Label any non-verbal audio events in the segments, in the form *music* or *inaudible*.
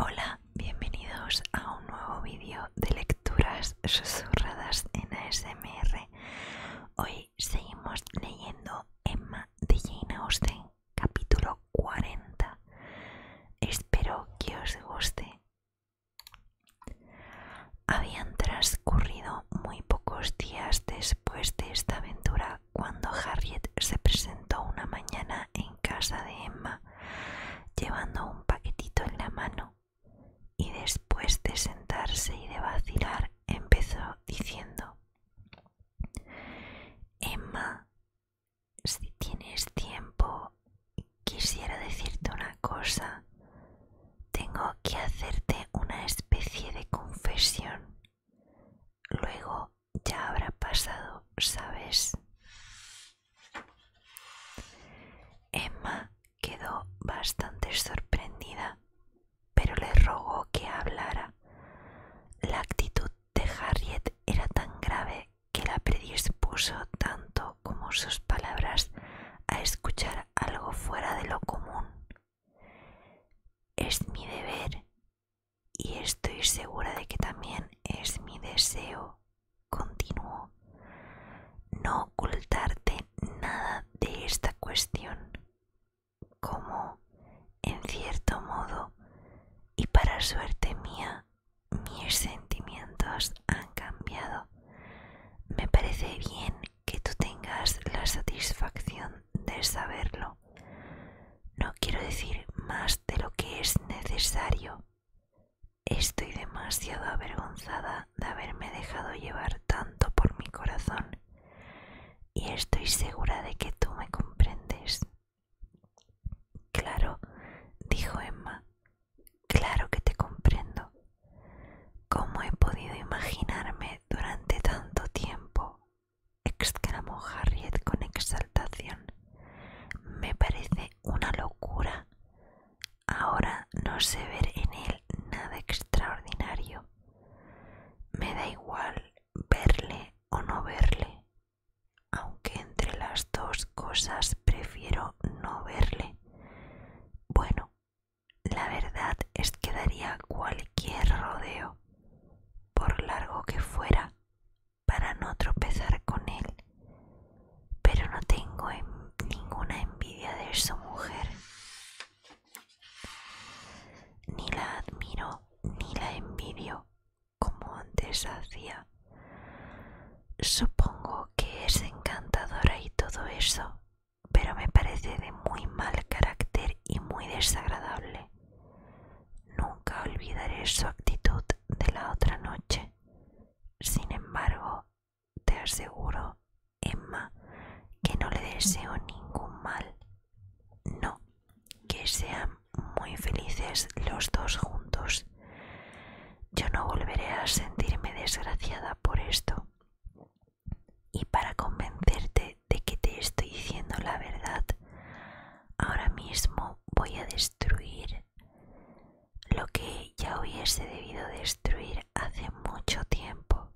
Hola, bienvenidos a un nuevo vídeo de lecturas susurradas en ASMR. Hoy seguimos leyendo Emma de Jane Austen capítulo 40. Espero que os guste. Habían transcurrido muy pocos días después de esta aventura cuando Harriet se presentó una mañana en casa de Emma llevando un paquetito en la mano y después de sentarse y de vacilar empezó diciendo Emma, si tienes tiempo, quisiera decirte una cosa. Tengo que hacerte una especie de confesión. Luego ya habrá pasado, ¿sabes? Emma quedó bastante sorprendida, pero le rogó que hablara. La actitud de Harriet era tan grave que la predispuso tanto como sus palabras a escuchar algo fuera de lo común. Es mi deber y estoy segura de que también es mi deseo, continuó, no ocultarte nada de esta cuestión, como, en cierto modo, y para suerte mía, mis sentimientos han cambiado. Me parece bien que tú tengas la satisfacción de saberlo. No quiero decir más de lo que es necesario. Estoy demasiado avergonzada de haberme dejado llevar tanto por mi corazón y estoy segura de que tú me comprendes. Claro, dijo Emma, claro que te comprendo. ¿Cómo he podido imaginarme durante tanto tiempo? exclamó Harriet con exaltación. Me parece una locura. Ahora no sé ver en él nada extraordinario. Me da igual verle o no verle, aunque entre las dos cosas prefiero no verle. Bueno, la verdad es que daría cualquier rodeo, por largo que fuera, para no tropezar con él, pero no tengo ninguna envidia de su mujer. Ni la admiro ni la envidio, como antes hacía. Supongo que es encantadora y todo eso, pero me parece de muy mal carácter y muy desagradable. Nunca olvidaré su actitud de la otra noche. Sin embargo, te aseguro, Emma, que no le deseo ningún mal. No, que sean muy felices los dos juntos. Yo no volveré a sentirme desgraciada por esto. Y para convencerte de que te estoy diciendo la verdad, ahora mismo voy a destruir lo que ya hubiese debido destruir hace mucho tiempo,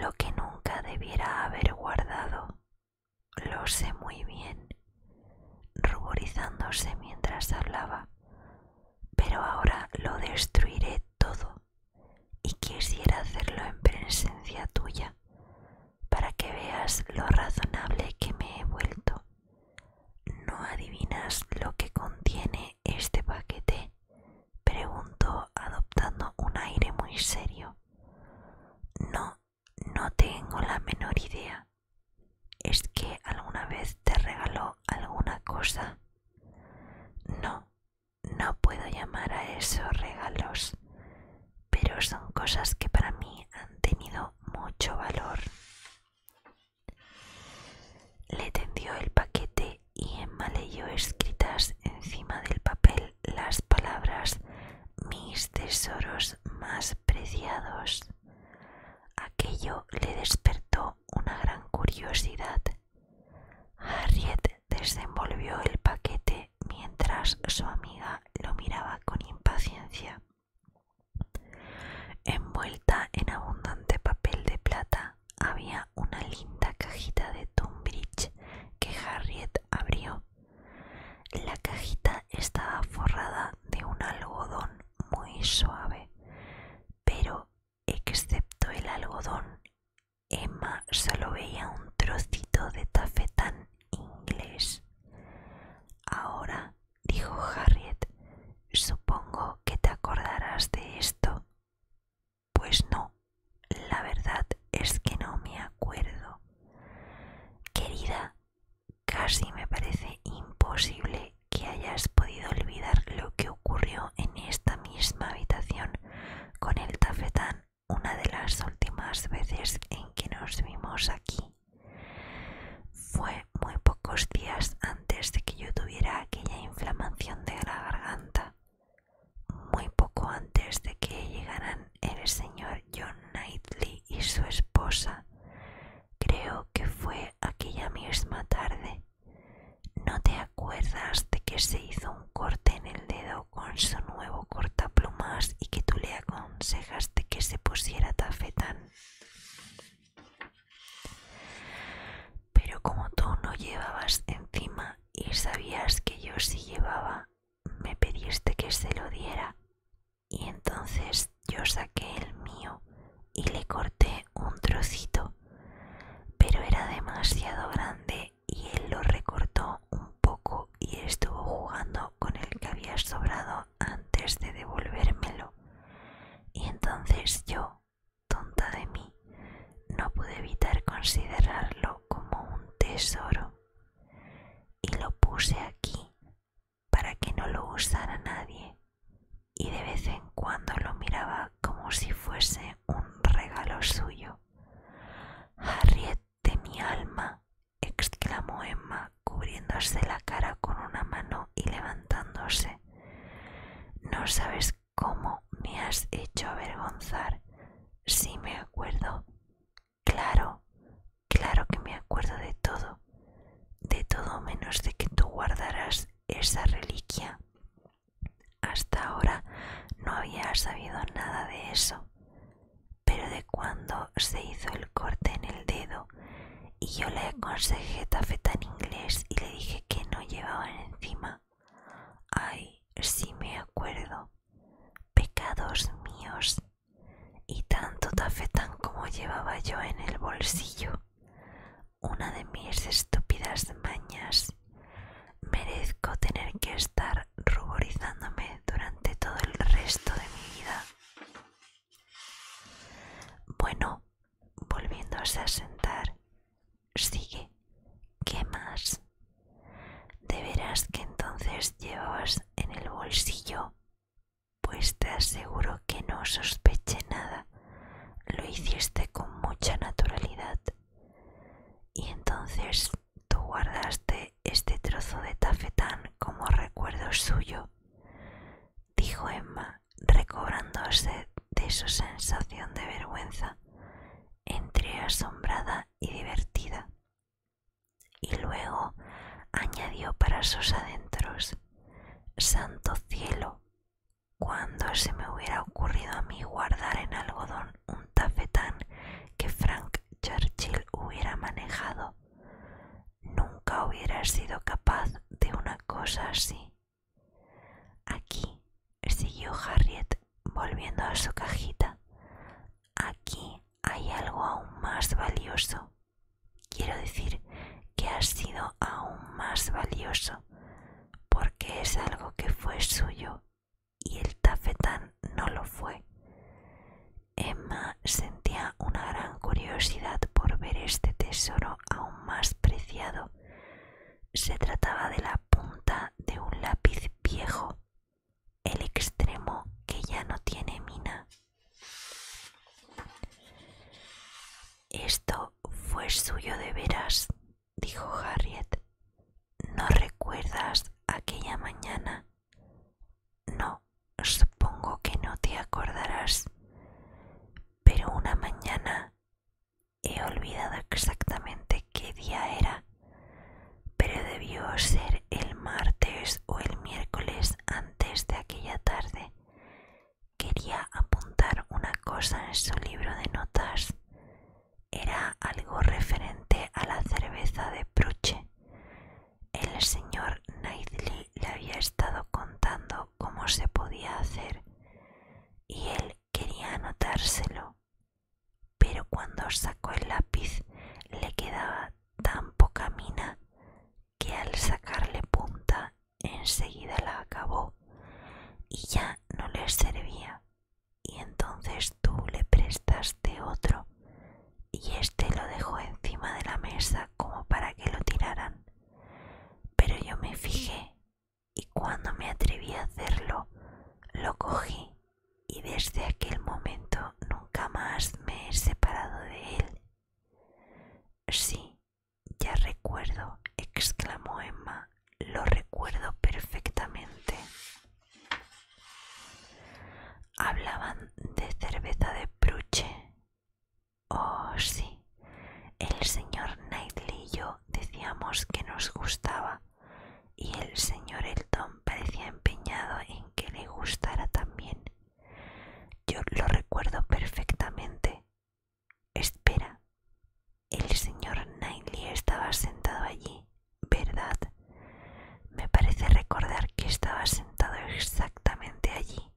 lo que nunca debiera haber guardado lo sé muy bien, ruborizándose mientras hablaba, pero ahora lo destruiré todo y quisiera hacerlo en presencia tuya, para que veas lo razonable que me he vuelto. ¿No adivinas lo que contiene este paquete? preguntó adoptando un aire muy serio. No, no tengo la menor idea. ¿Es que alguna vez te regaló alguna cosa? No, no puedo llamar a eso regalos, pero son cosas que para mí han tenido mucho valor. Le tendió el paquete y Emma leyó escritas encima del papel las palabras mis tesoros más preciados. Aquello le despertó una gran curiosidad. Harriet desenvolvió el paquete mientras su amiga lo miraba con impaciencia. Envuelta en abundante papel de plata había una linda cajita de Tumbridge que Harriet abrió la cajita estaba forrada de un algodón muy suave, pero excepto el algodón, Emma solo veía un trocito de tafetán inglés. Ahora, dijo Harriet, supongo que te acordarás de esto. Pues no, la verdad es que no me acuerdo. Querida, casi me parece imposible que hayas podido olvidar lo que ocurrió en esta misma habitación con el tafetán una de las últimas veces en que nos vimos aquí. Fue muy pocos días antes de que yo tuviera aquella inflamación de la garganta, muy poco antes de que llegaran el señor John Knightley y su esposa. Creo que fue aquella misma tarde. ¿No te acuerdas de que se hizo un corte en el dedo con su nuevo cortaplumas y que tú le aconsejaste que se pusiera tafetán? Pero como tú no llevabas encima y sabías que yo sí llevaba, me pediste que se lo diera y entonces yo saqué el mío y le corté un trocito, pero era demasiado grande y él lo recortó un poco y estuvo jugando con el que había sobrado antes de devolvérmelo. Y entonces yo, tonta de mí, no pude evitar considerarlo como un tesoro y lo puse aquí para que no lo usara nadie y de vez en cuando lo miraba como si fuese un regalo suyo. Harriet de mi alma, exclamó Emma, cubriéndose la cara con una mano y levantándose. No sabes cómo me has hecho avergonzar. si me acuerdo. Claro, claro que me acuerdo de todo, de todo menos de que tú guardarás esa reliquia. Hasta ahora no había sabido nada de eso, pero de cuando se hizo el corte en el dedo y yo le aconsejé tafeta en inglés y le dije que no llevaban encima. Ay, sí me acuerdo pecados míos y tanto tafetán como llevaba yo en el bolsillo, una de mis estúpidas mañas. Merezco tener que estar ruborizándome durante todo el resto de mi vida. Bueno, volviéndose a sentar, sigue. ¿Qué más? de veras que entonces llevabas en el bolsillo pues te aseguro que no sospeché nada lo hiciste con mucha naturalidad y entonces tú guardaste este trozo de tafetán como recuerdo suyo dijo emma recobrándose de su sensación de vergüenza entre asombrada y divertida y luego añadió para sus adentros, Santo cielo, cuando se me hubiera ocurrido a mí guardar en algodón un tafetán que Frank Churchill hubiera manejado, nunca hubiera sido capaz de una cosa así. Aquí, siguió Harriet, volviendo a su cajita, aquí hay algo aún más valioso. Quiero decir que ha sido aún más valioso porque es algo que fue suyo y el tafetán no lo fue. Emma sentía una gran curiosidad por ver este tesoro aún más preciado. Se trataba de la punta de un lápiz viejo el extremo que ya no tiene mina. Esto fue suyo de veras, dijo Harriet. ¿No recuerdas aquella mañana? No, supongo que no te acordarás. Pero una mañana he olvidado exactamente qué día era pero debió ser el martes o el miércoles antes de aquella tarde. Quería apuntar una cosa en su libro de notas. Era algo referente a la cerveza de Pruche. El señor Knightley le había estado contando cómo se podía hacer y él quería anotárselo pero cuando sacó el lápiz le quedaba tan poca mina que al sacarle punta enseguida la acabó y ya no le servía y entonces tú le prestaste otro y éste lo dejó encima de la mesa como para que lo tiraran pero yo me fijé y cuando me atreví a hacerlo lo cogí y desde aquel momento nunca más me he separado de él. Sí, ya recuerdo, exclamó Emma, lo recuerdo perfectamente. Hablaban de cerveza de pruche. Oh, sí, el señor Knightley y yo decíamos que nos gustaba y el señor Elton parecía empeñado en que le gustara también. Yo lo recuerdo perfectamente. Espera, el señor Knightley estaba sentado allí, ¿verdad? Me parece recordar que estaba sentado exactamente allí.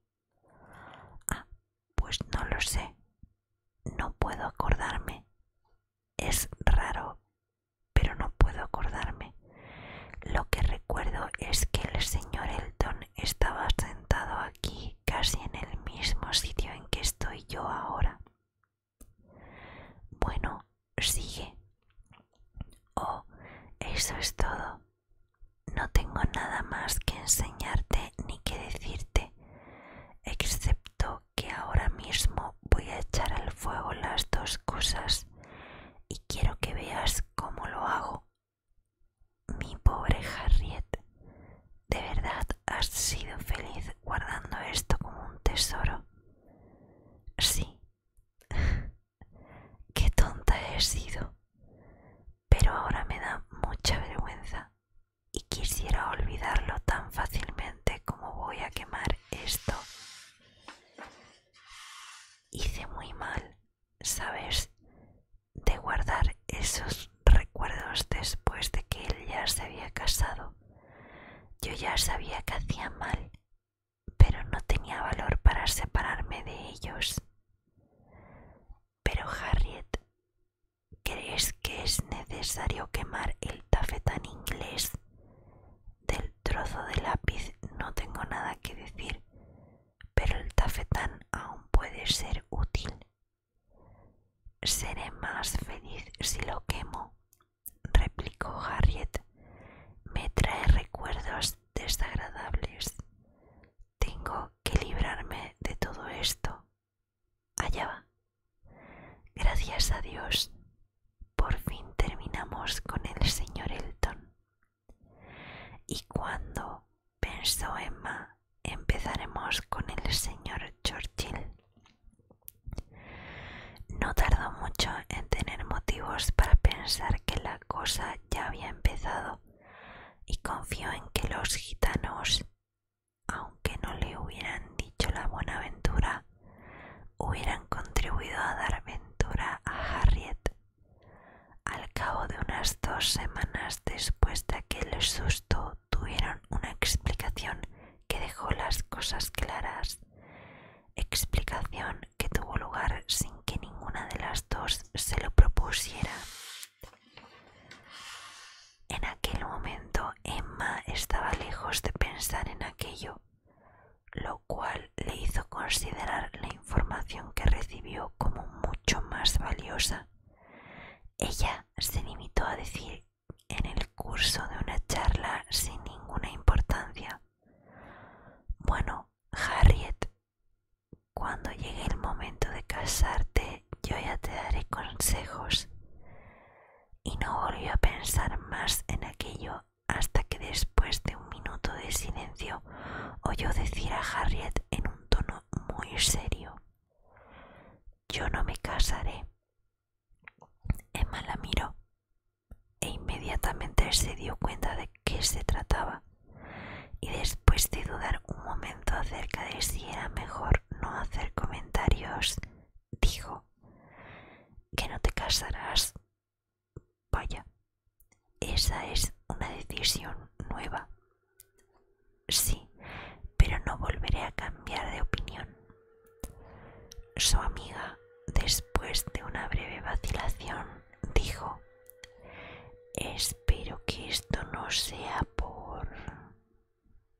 Ah, pues no lo sé. No puedo acordarme. Es raro, pero no puedo acordarme. Lo que recuerdo es que el señor Elton estaba sentado aquí casi en el mismo sitio en que estoy yo ahora. Bueno, sigue. Oh, eso es todo. No tengo nada más que enseñarte ni que decirte, excepto que ahora mismo voy a echar al fuego las dos cosas y quiero que veas cómo lo hago. Mi pobre Harriet, de verdad has sido feliz guardando esto como un tesoro. Sí, *laughs* qué tonta he sido, pero ahora me da mucha vergüenza y quisiera olvidarlo tan fácilmente como voy a quemar esto. Hice muy mal, ¿sabes? De guardar esos recuerdos después de que él ya se había casado. Yo ya sabía que hacía mal, pero no tenía valor para separarme de ellos. Pero Harriet ¿Crees que es necesario quemar el tafetán inglés? Del trozo de lápiz no tengo nada que decir, pero el tafetán aún puede ser útil. Seré más feliz si lo quemo, replicó Harriet. Me trae recuerdos desagradables. Tengo que librarme de todo esto. Allá va. Gracias a Dios, por fin terminamos con el señor Elton. Y cuando, pensó Emma, empezaremos con el señor Churchill. No tardó mucho en tener motivos para pensar que la cosa ya había empezado y confió en que los gitanos aunque no le hubieran dicho la buena ventura, hubieran contribuido a dar ventura a Harriet. Al cabo de unas dos semanas después de aquel susto tuvieron una explicación que dejó las cosas claras, explicación que tuvo lugar sin que ninguna de las dos se lo propusiera. En aquel momento Emma estaba lejos de pensar en aquello, lo cual le hizo considerar la información que recibió como mucho más valiosa. Ella se limitó a decir en el curso de una charla sin ninguna importancia. Bueno, Harriet, cuando llegue el momento de casarte, yo ya te daré consejos. Y no volvió a pensar más en aquello hasta que después de un minuto de silencio oyó decir a Harriet en un tono muy serio Yo no me casaré. Emma la miró e inmediatamente se dio cuenta de qué se trataba y después de dudar un momento acerca de si era mejor no hacer comentarios dijo que no te casarás. Vaya, esa es una decisión nueva. Sí, pero no volveré a cambiar de opinión. Su amiga, después de una breve vacilación, dijo, espero que esto no sea por...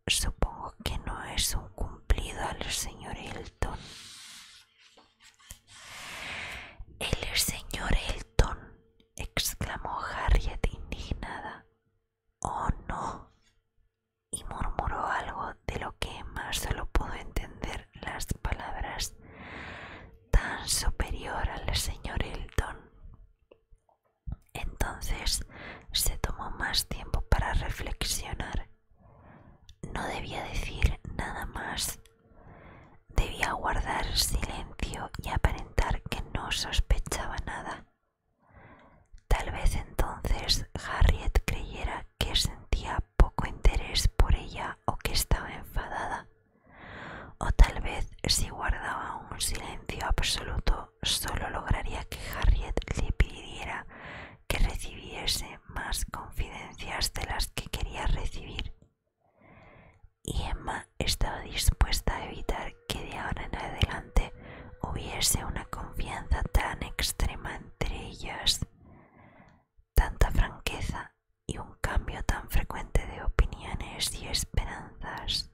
Supongo que no es un cumplido al señor Elton. El señor Elton, exclamó Harriet indignada. Oh, no. Y murmuró algo de lo que más solo pudo entender las palabras tan superior al señor Elton. Entonces se tomó más tiempo para reflexionar. No debía decir nada más. Debía guardar silencio y aparentar que no sospechaba nada. Tal vez entonces Harriet creyera que sentía poco interés por ella o que estaba enfadada. O tal vez si guardaba un silencio absoluto solo lograría que Harriet le pidiera que recibiese más confidencias de las que quería recibir. Y Emma estaba dispuesta a evitar que de ahora en adelante hubiese una confianza tan extrema entre ellas. Tanta franqueza y un cambio tan frecuente de opiniones y esperanzas.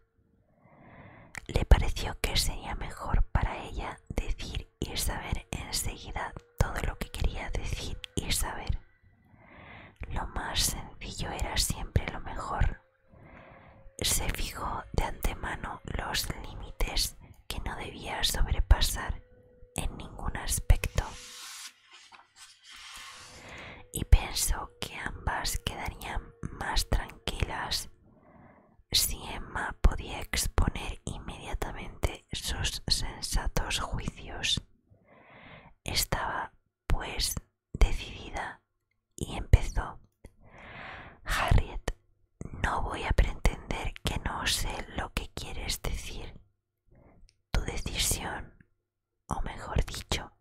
Le pareció que sería mejor para ella decir y saber enseguida todo lo que quería decir y saber. Lo más sencillo era siempre lo mejor. Se fijó de antemano los límites que no debía sobrepasar en ningún aspecto y pensó que ambas quedarían más tranquilas si Emma podía exponer inmediatamente sus sensatos juicios. Estaba, pues, decidida y empezó. Harriet, no voy a pretender que no sé lo que quieres decir. Tu decisión, o mejor dicho,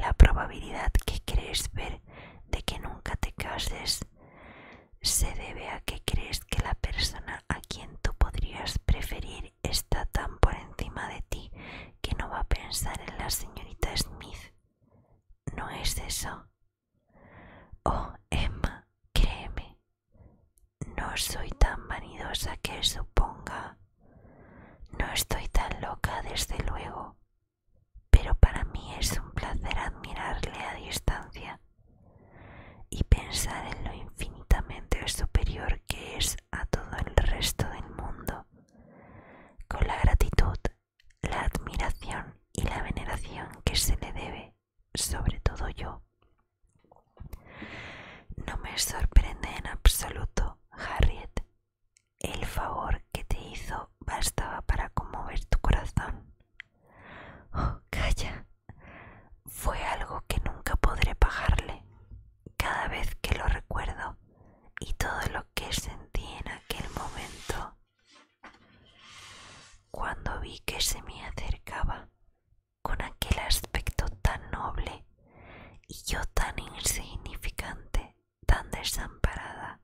la probabilidad que crees ver de que nunca te cases se debe a que crees que la persona a quien tú podrías preferir está tan por encima de ti que no va a pensar en la señorita Smith. ¿No es eso? Oh, Emma, créeme, no soy tan vanidosa que suponga. No estoy tan loca, desde luego, pero para mí es un placer admirarle a distancia y pensar en lo infinitamente superior que es a todo el resto del mundo, con la gratitud, la admiración y la veneración que se le debe, sobre todo yo. No me sorprende en absoluto, Harriet, el favor que te hizo bastaba para conmover tu corazón. Oh, calla. Fue algo que nunca podré pagarle. Cada vez que lo recuerdo y todo lo que sentí en aquel momento, cuando vi que se me acercaba con aquel aspecto tan noble y yo tan insignificante, tan desamparada,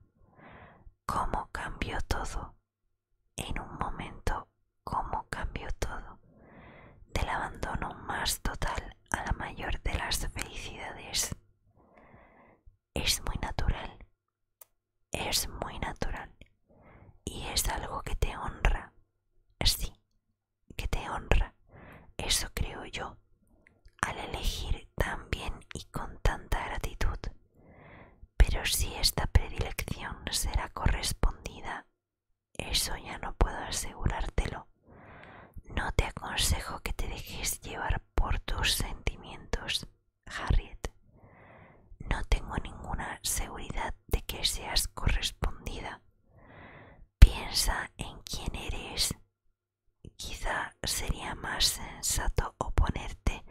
cómo cambió todo, en un momento cómo cambió todo, del abandono más total a la mayor de las felicidades. Es muy natural, es muy natural y es algo que te honra, sí, que te honra, eso creo yo, al elegir tan bien y con tanta gratitud, pero si esta predilección será correspondida, eso ya no puedo asegurártelo. No te aconsejo que te dejes llevar por tus sentimientos, Harriet. No tengo ninguna seguridad de que seas correspondida. Piensa en quién eres Quizá sería más sensato oponerte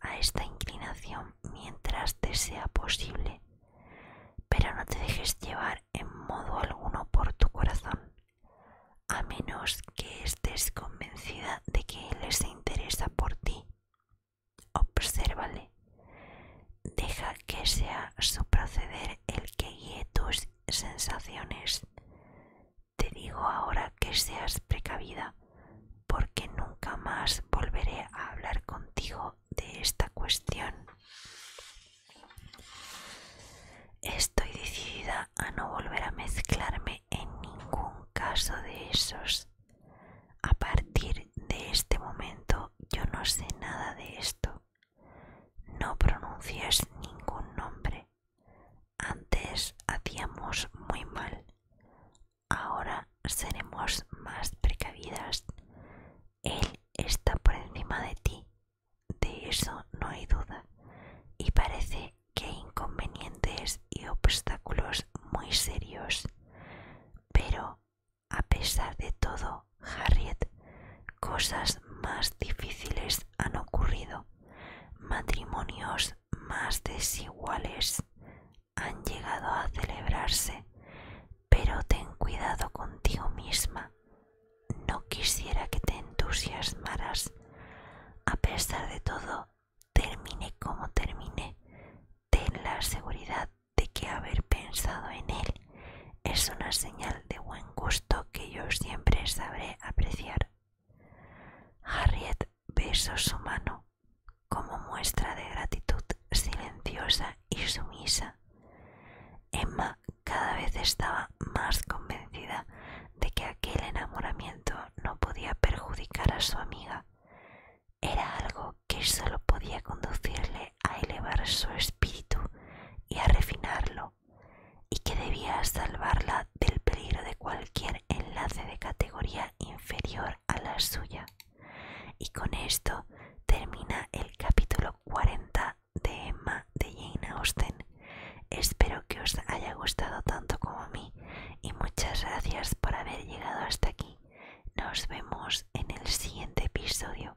a esta inclinación mientras te sea posible, pero no te dejes llevar en modo alguno por tu corazón, a menos que estés convencida de que Él se interesa por ti. Obsérvale. Deja que sea su proceder el que guíe tus sensaciones. Te digo ahora que seas precavida, porque nunca más volveré a hablar contigo de esta cuestión. Estoy decidida a no volver a mezclarme en ningún caso de esos. A partir de este momento yo no sé nada de esto. No pronuncias ningún nombre antes hacíamos muy mal, ahora seremos más precavidas. Él está por encima de ti, de eso no hay duda, y parece que hay inconvenientes y obstáculos muy serios. Pero, a pesar de todo, Harriet, cosas más difíciles han ocurrido. Matrimonios más desiguales han llegado a celebrarse, pero ten cuidado contigo misma. No quisiera que te entusiasmaras. A pesar de todo, termine como termine, ten la seguridad de que haber pensado en él es una señal de buen gusto que yo siempre sabré apreciar. Harriet besó su mano como muestra de gratitud silenciosa y sumisa. Emma cada vez estaba más convencida de que aquel enamoramiento no podía perjudicar a su amiga. Era algo que solo podía conducirle a elevar su espíritu y a refinarlo y que debía salvarla del peligro de cualquier enlace de categoría inferior a la suya. Y con esto termina el capítulo 40 de Emma de Jane Austen. Espero que os haya gustado tanto como a mí y muchas gracias por haber llegado hasta aquí. Nos vemos en el siguiente episodio.